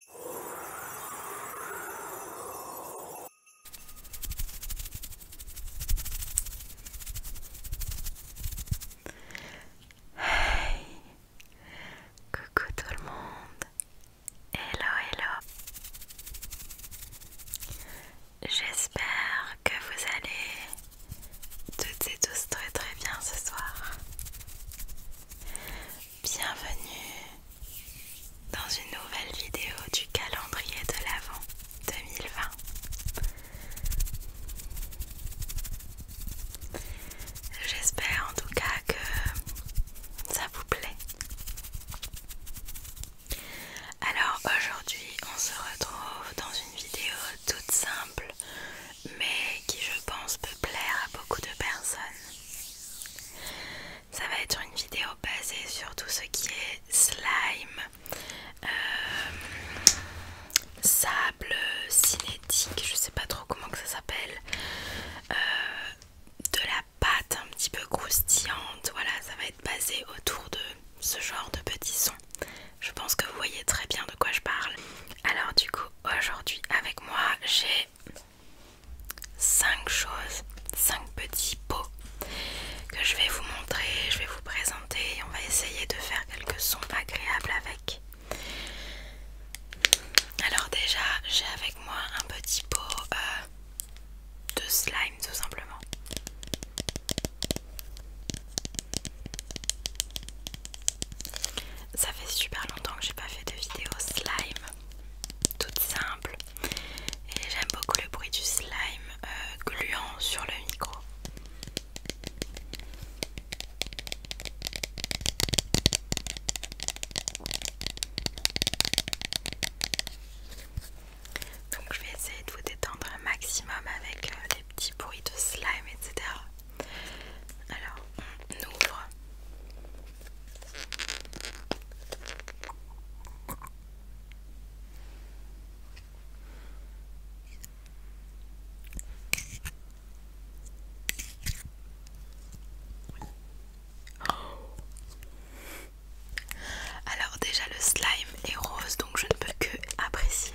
Coucou tout le monde Hello hello J'espère que vous allez toutes et tous très très bien ce soir Bienvenue dans une nouvelle vidéo du calendrier de l'Avent 2020. J'espère en tout cas que ça vous plaît. Alors aujourd'hui on se retrouve dans une vidéo toute simple mais qui je pense peut plaire à beaucoup de personnes. Ça va être une vidéo basée sur tout ce qui est slime, euh, sable cinétique, je sais pas trop comment que ça s'appelle, euh, de la pâte un petit peu croustillante. Voilà, ça va être basé autour de ce genre de petits sons. Je pense que vous voyez très bien de quoi je parle. Alors du coup, aujourd'hui avec moi, j'ai 5 choses, 5 petits pots que je vais vous montrer, je vais vous présenter et on va essayer de faire quelques sons agréables avec. Alors déjà, j'ai avec moi un petit pot euh, de slime tout simplement. Ça fait super longtemps que j'ai pas fait de vidéo slime toute simple et j'aime beaucoup le bruit du slime euh, gluant sur le micro. Donc je vais essayer de vous détendre un maximum avec euh, des les petits bruits de slime, etc. Alors, on ouvre. Alors déjà le slime est rose donc je ne peux que apprécier.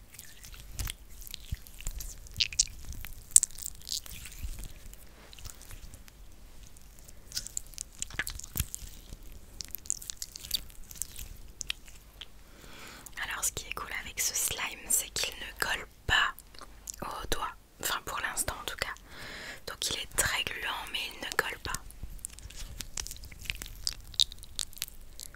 Alors ce qui est cool avec ce slime, c'est qu'il ne colle pas au doigt. Enfin pour l'instant en tout cas. Donc il est très gluant mais il ne colle pas.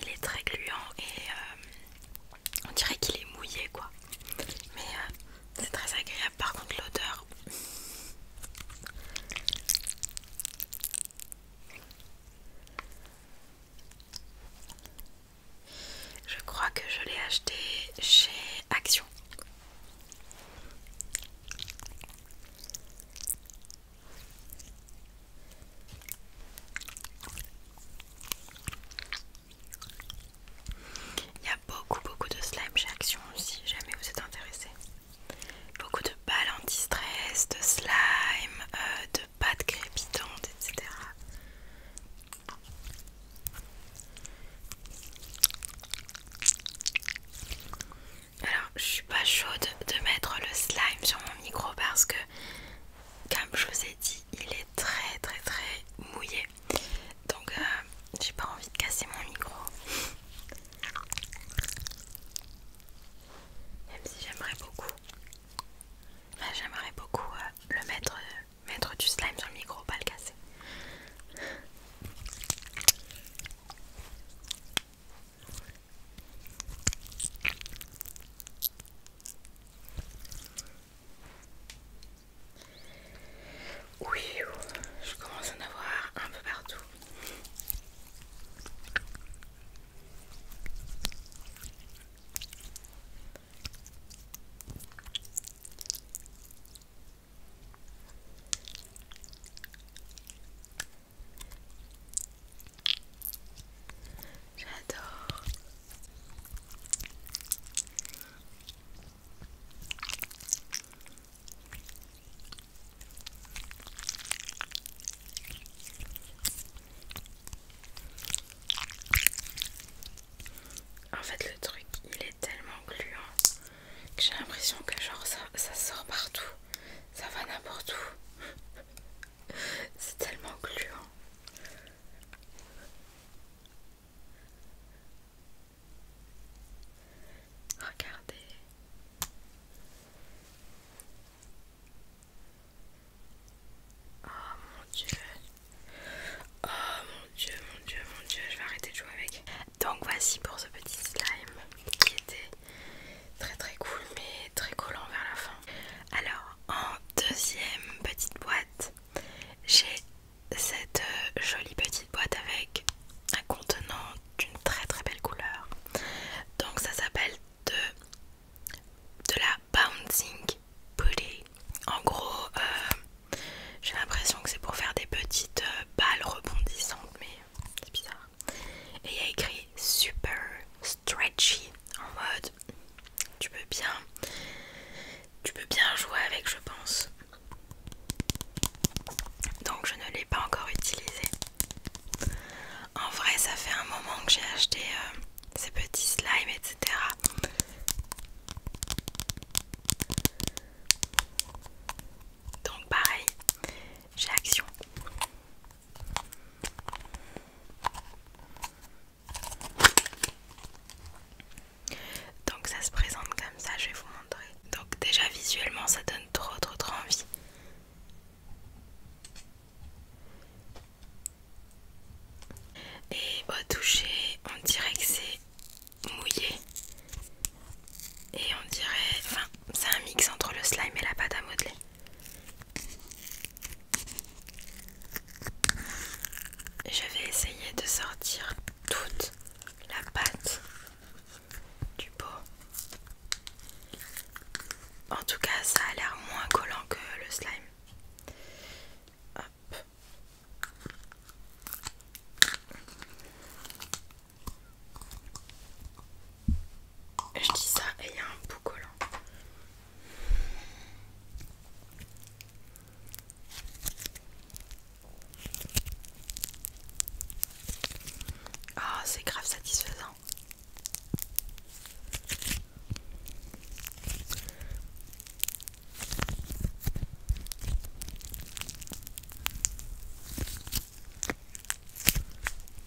Il est très gluant et euh, on dirait qu'il est mouillé quoi. Mais euh, c'est très agréable par contre l'odeur. Je crois que je l'ai acheté chez Action. Il y a beaucoup beaucoup de slime chez Action si jamais vous êtes intéressé. Beaucoup de balles anti-stress, de slime, euh, de pâtes crépitantes, etc. Alors, je suis pas chaude de mettre le slime sur mon micro parce que comme je vous ai dit, il est très très très mouillé. Donc euh, j'ai pas envie de casser mon micro. Même si j'aimerais beaucoup. j'aimerais beaucoup euh, le mettre, euh, mettre du slime sur le micro, pas le casser. Oui, je commence à en avoir un peu partout. J'adore. En fait le truc il est tellement gluant que j'ai l'impression que genre ça, ça sort partout, ça va n'importe où. C'est tellement gluant. Regardez. Oh mon dieu. Oh mon dieu, mon dieu, mon dieu, je vais arrêter de jouer avec. Donc voici pour ce petit slime qui était Très très cool mais très collant vers la fin. Alors en deuxième petite boîte, j'ai cette euh, jolie petite boîte avec un contenant d'une très très belle couleur. Donc ça s'appelle de, de la Bouncing Putty. En gros, euh, j'ai l'impression que c'est pour faire des petites euh, balles rebondissantes mais c'est bizarre. Et il y a écrit super stretchy en mode tu peux bien tu peux bien jouer avec je pense. Donc je ne l'ai pas encore utilisé. En vrai ça fait un moment que j'ai acheté euh, ces petits slimes etc. Donc pareil, j'ai action. Donc ça se présente comme ça, je vais vous montrer. Donc déjà visuellement ça donne trop trop trop envie. Et au toucher, on dirait que c'est mouillé. Et on dirait, enfin c'est un mix entre le slime et la pâte à modeler. Je vais essayer de sortir toute la pâte du pot. En tout cas, ça a l'air moins collant que le slime. Je dis ça et il y a un bout collant. Ah c'est grave satisfaisant.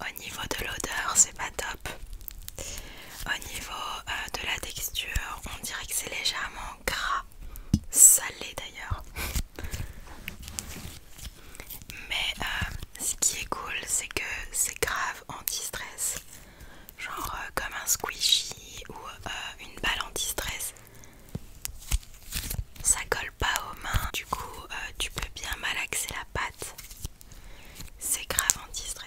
Au niveau de l'odeur, c'est pas top. Au niveau euh, de la texture, on dirait que c'est légèrement gras, salé d'ailleurs. Mais euh, ce qui est cool, c'est que c'est grave anti-stress. Genre euh, comme un squishy ou une balle anti-stress. Ça colle pas aux mains, du coup euh, tu peux bien malaxer la pâte. C'est grave anti-stress.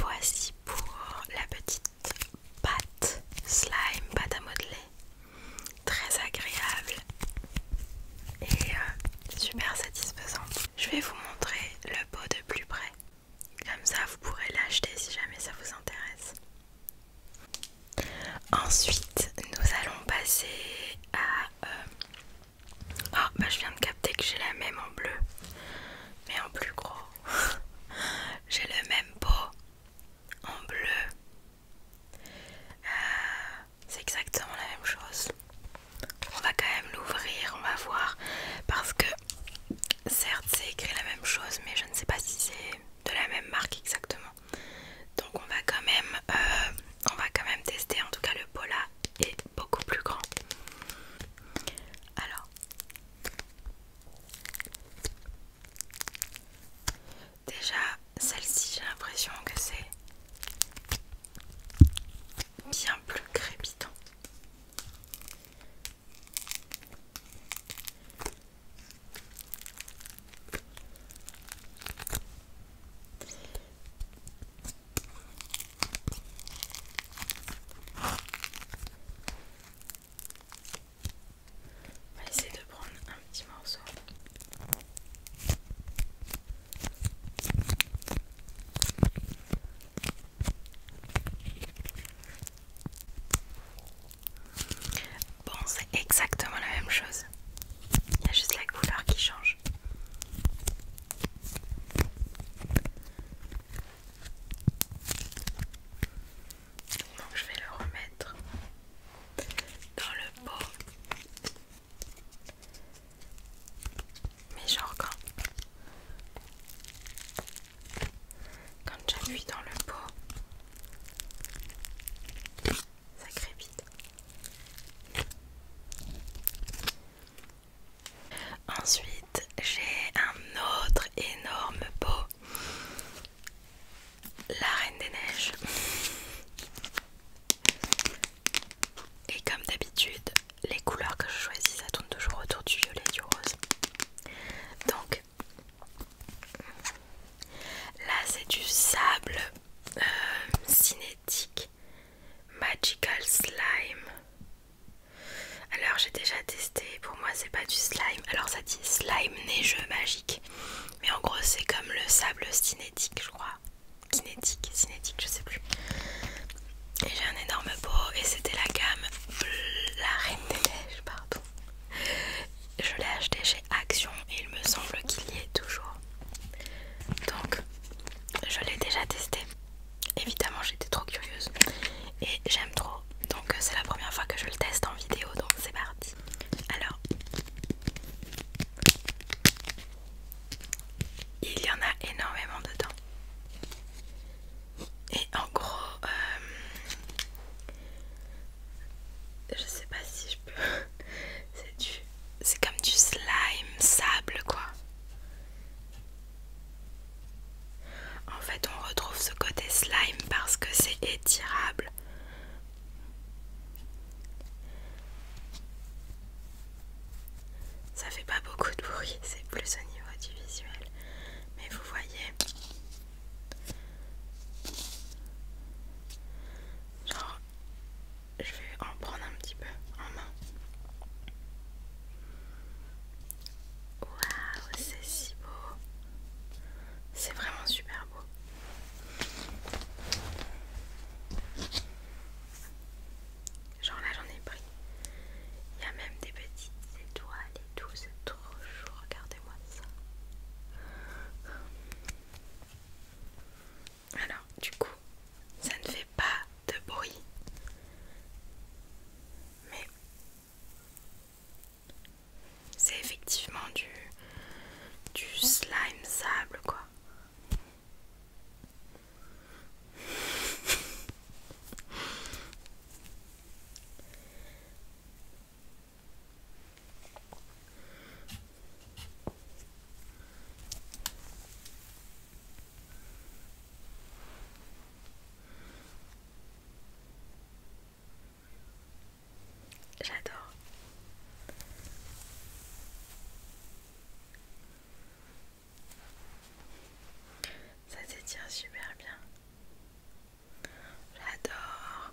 Voici pour la petite pâte slime, pâte à modeler, très agréable et euh, super satisfaisante. Je vais vous montrer le pot de plus près, comme ça vous pourrez l'acheter si jamais ça vous intéresse. Ensuite, nous allons passer à... Euh, oh, bah je viens de capter que j'ai la même en bleu, mais en plus gros. J'ai le même pot en bleu. Euh, c'est exactement la même chose. On va quand même l'ouvrir, on va voir. Parce que certes c'est écrit la même chose mais je ne sais pas si c'est de la même marque exactement. Donc on va quand même euh, on va quand même tester en tout cas le pot là est beaucoup plus grand. Alors Déjà, celle-ci, j'ai l'impression que c'est bien plus crépitant. On va essayer de prendre un petit morceau. Bon, c'est exactement la même chose. Il y a juste la couleur qui change. Donc je vais le remettre dans le pot. Mais genre quand, quand j'appuie dans le pot, ça crépite. Ensuite, j'ai un autre énorme pot. La Reine des Neiges. Et comme d'habitude, les couleurs que je choisis, ça tourne toujours autour du violet et du rose. Donc, là c'est du sable euh, cinétique, magical slime. Alors j'ai déjà testé, pour moi c'est pas du slime. Alors ça dit slime neigeux magique. Mais en gros c'est comme le sable cinétique je crois. Kinétique, cinétique, je sais plus. Et j'ai un énorme pot et c'était la gamme La Reine des Neiges, pardon. Je l'ai acheté chez Action et il me semble qu'il y est toujours. Donc je l'ai déjà testé évidemment j'étais trop curieuse et j'aime trop donc euh, c'est la première fois que je le teste en vidéo donc c'est parti alors il y en a énormément dedans et en gros euh, je sais pas si je peux c'est du c'est comme du slime sable quoi en fait, on retrouve ce côté slime parce que c'est étirable. Ça fait pas beaucoup de bruit, c'est plus au niveau du visuel. Mais vous voyez, genre, je vais en prendre un petit peu en main. Waouh, c'est si beau. C'est vraiment super beau. Genre là, j'en ai pris. Il y a même des petites étoiles et tout, c'est trop chaud. Regardez-moi ça. Alors, du coup, ça ne fait pas de bruit. Mais c'est effectivement du, du slime sable, quoi. J'adore. Ça s'étire super bien. J'adore.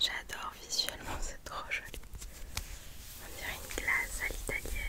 J'adore visuellement, cette trop joli. On dirait une glace à l'italienne.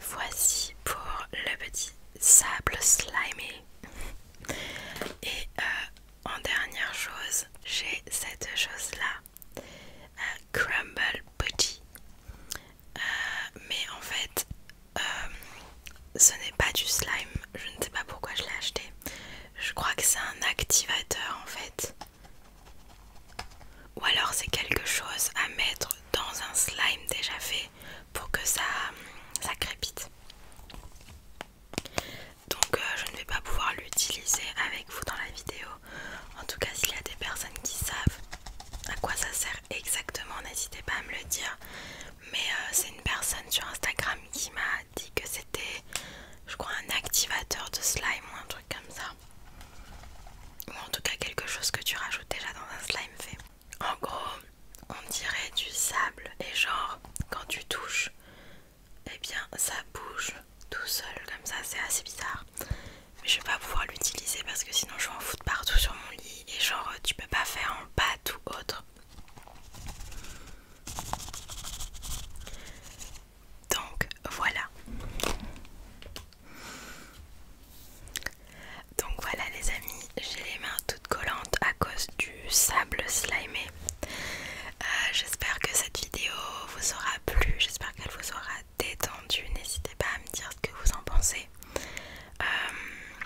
Voici pour le petit sable slimé. Et euh, en dernière chose, j'ai cette chose là, Un euh, crumble putty. Euh, mais en fait, ce n'est pas du slime. Je ne sais pas pourquoi je l'ai acheté. Je crois que c'est un activateur en fait. Ou alors c'est quelque chose à mettre dans un slime déjà fait pour que ça, crépite. Donc euh, je ne vais pas pouvoir l'utiliser avec vous dans la vidéo. En tout cas s'il y a des personnes qui savent à quoi ça sert exactement, n'hésitez pas à me le dire. Mais euh, c'est une personne sur Instagram qui m'a dit que c'était je crois un activateur de slime ou un truc comme ça ou en tout cas quelque chose que tu rajoutes déjà dans un slime fait. En gros, on dirait du sable et genre quand tu touches, Et eh bien ça bouge tout seul comme ça, c'est assez bizarre. Mais je vais pas pouvoir l'utiliser parce que sinon je vais en foutre partout sur mon lit et genre euh, tu peux pas faire en pâte ou autre. Donc voilà. Donc voilà les amis, j'ai les mains toutes collantes à cause du sable slimé. Euh, j'espère que cette vidéo vous aura plu, j'espère qu'elle vous aura détendu. N'hésitez pas à me dire ce que vous en pensez. Euh,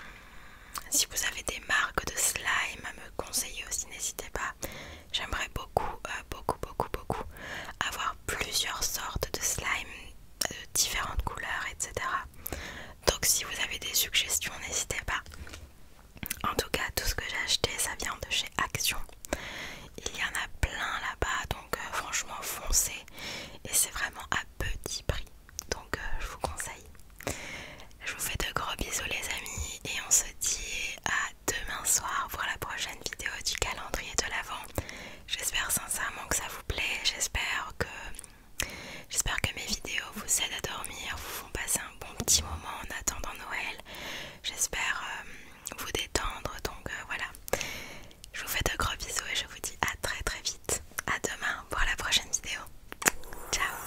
si vous avez des marques de slime à me conseiller aussi, n'hésitez pas. J'aimerais beaucoup, euh, beaucoup, beaucoup, beaucoup avoir plusieurs sortes de slime de euh, différentes couleurs, etc. Donc si vous avez des suggestions, n'hésitez pas. En tout cas, tout ce que j'ai acheté, ça vient de chez Action. Il y en a plein là-bas, donc euh, franchement foncez. Et c'est vraiment à petit prix. Donc je vous conseille. Je vous fais de gros bisous les amis et on se dit à demain soir voir la prochaine vidéo du calendrier de l'Avent. J'espère sincèrement que ça vous plaît, j'espère que, j'espère que mes vidéos vous aident à dormir, vous font passer un bon petit moment en attendant Noël. J'espère euh, vous détendre, donc euh, voilà. Je vous fais de gros bisous et je vous dis à très très vite. À demain pour la prochaine vidéo. Ciao